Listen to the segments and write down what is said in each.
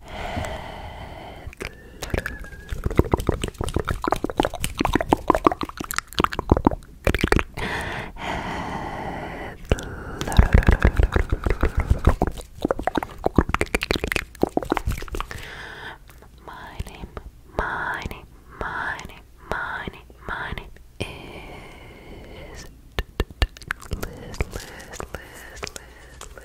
My name, my name, my name, my name, my name is Liz, Liz, Liz, Liz, Liz.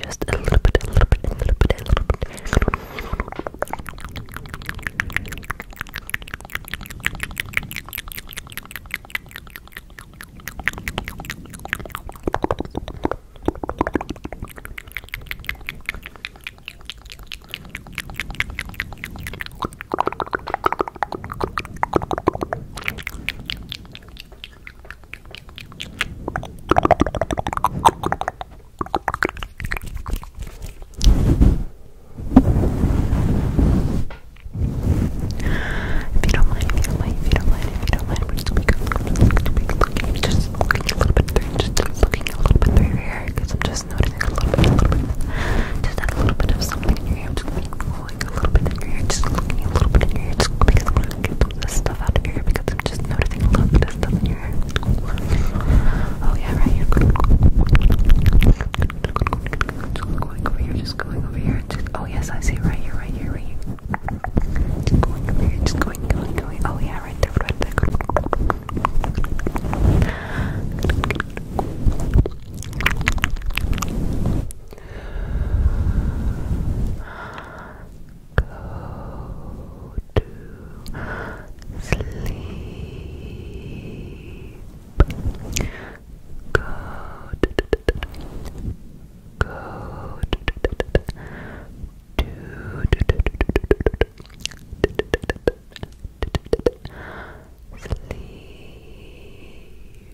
Just a little bit, a little bit, a little bit, a little bit. If you don't mind, if you don't mind, if you don't mind, if you don't mind, we're just gonna be looking, just looking a little bit through, just looking a little bit through your hair, I'm just noticing a little bit, a little bit, just a little bit of something in your hair. just going a little bit in your hair, just looking a little bit in your hair, just because I'm get all this stuff out of your hair because I'm just noticing a lot of this stuff in your hair. Oh yeah, right here. Just going over here, just going over here. Just, oh yes, I see right here, right here, right here. Just going over here, just going, going, going. Oh yeah, right there, right there go to sleep. Go go to sleep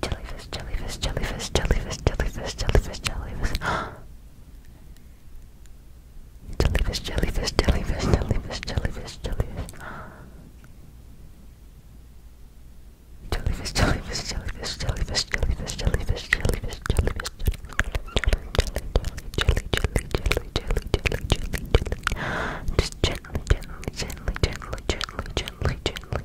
Jellyfish, jellyfish, jellyfish, jellyfish, jellyfish, jellyfish, jellyfish. jellyfish, jellyfish, jellyfish, jellyfish, jellyfish, jellyfish. Jellyfish, jellyfish, jellyfish, jellyfish, jellyfish, jellyfish, jellyfish, jellyfish, jelly, jelly, jelly, jelly, jelly, jelly, jelly. Just gently, gently, gently, gently, gently, gently, gently, gently.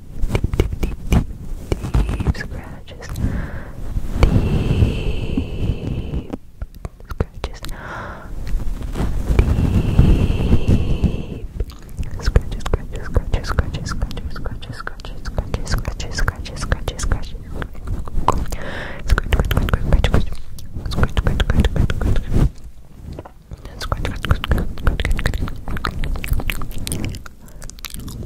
deep, deep, deep, deep scratches, deep scratches, deep scratches, scratches, scratches, scratches, scratches, scratches, scratches, scratches, scratches, scratches, scratches, scratches, scratches, scratches, scratches, scratches, you are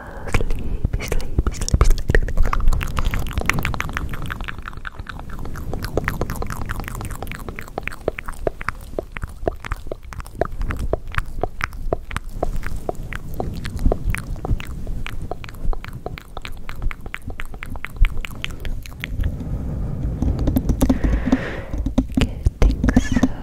sleepy, sleepy, sleepy, sleepy. Getting so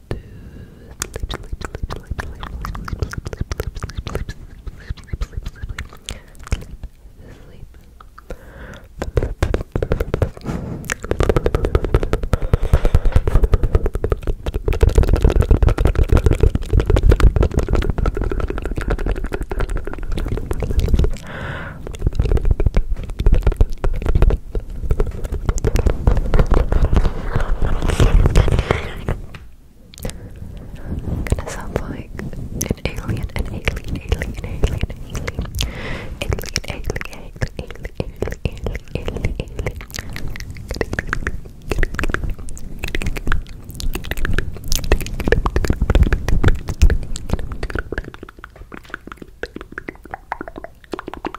to sleep, sleep, sleep, sleep, sleep, sleep, sleep, sleep, sleep, sleep, sleep, sleep, sleep, sleep, sleep, i gonna sound like an alien, an alien, alien, alien, alien, alien, alien, alien, alien, alien, alien, alien.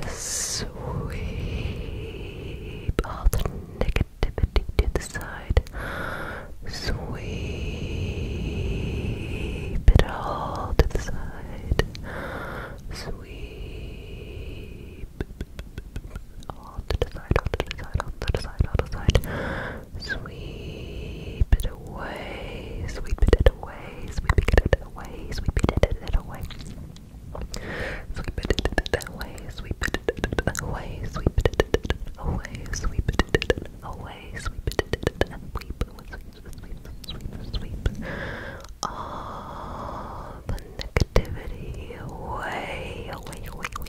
Just sweep all the negativity to the side. Sweep it all to the side. Sweep all to the side, all to the side, all to the side, all to the side. Sweep it away, sweep it away, sweep it away, sweep it away. Sweep it away, sweep it away, sweep it away, sweep it away, sweep it and sweep, sweep, sweep, sweep, all the negativity away, away, away, away,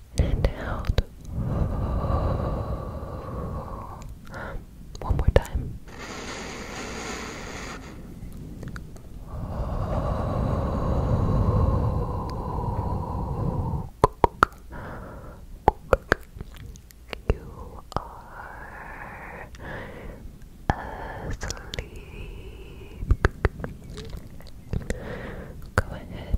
and out. One more time. You are asleep. Go ahead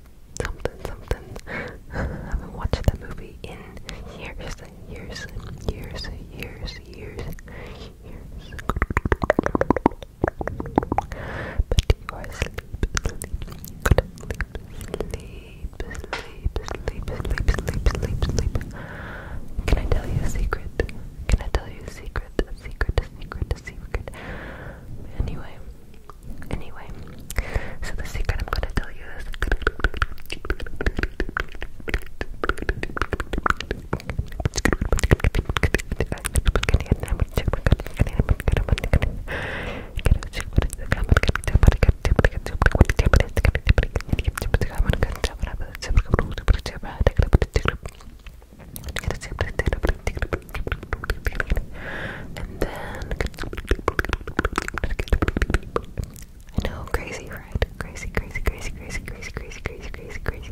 something something. I haven't watched that movie in years and years and years and years and years years. But you are asleep, sleep, good sleep, sleep, sleep, sleep, sleep, sleep, sleep. Can I tell you a secret? Can I tell you a secret? A secret, a secret, a secret. Anyway, Anyway, so the secret I'm gonna tell you is and then I crazy, right? Crazy, crazy, crazy, crazy, crazy, crazy, crazy, crazy, crazy.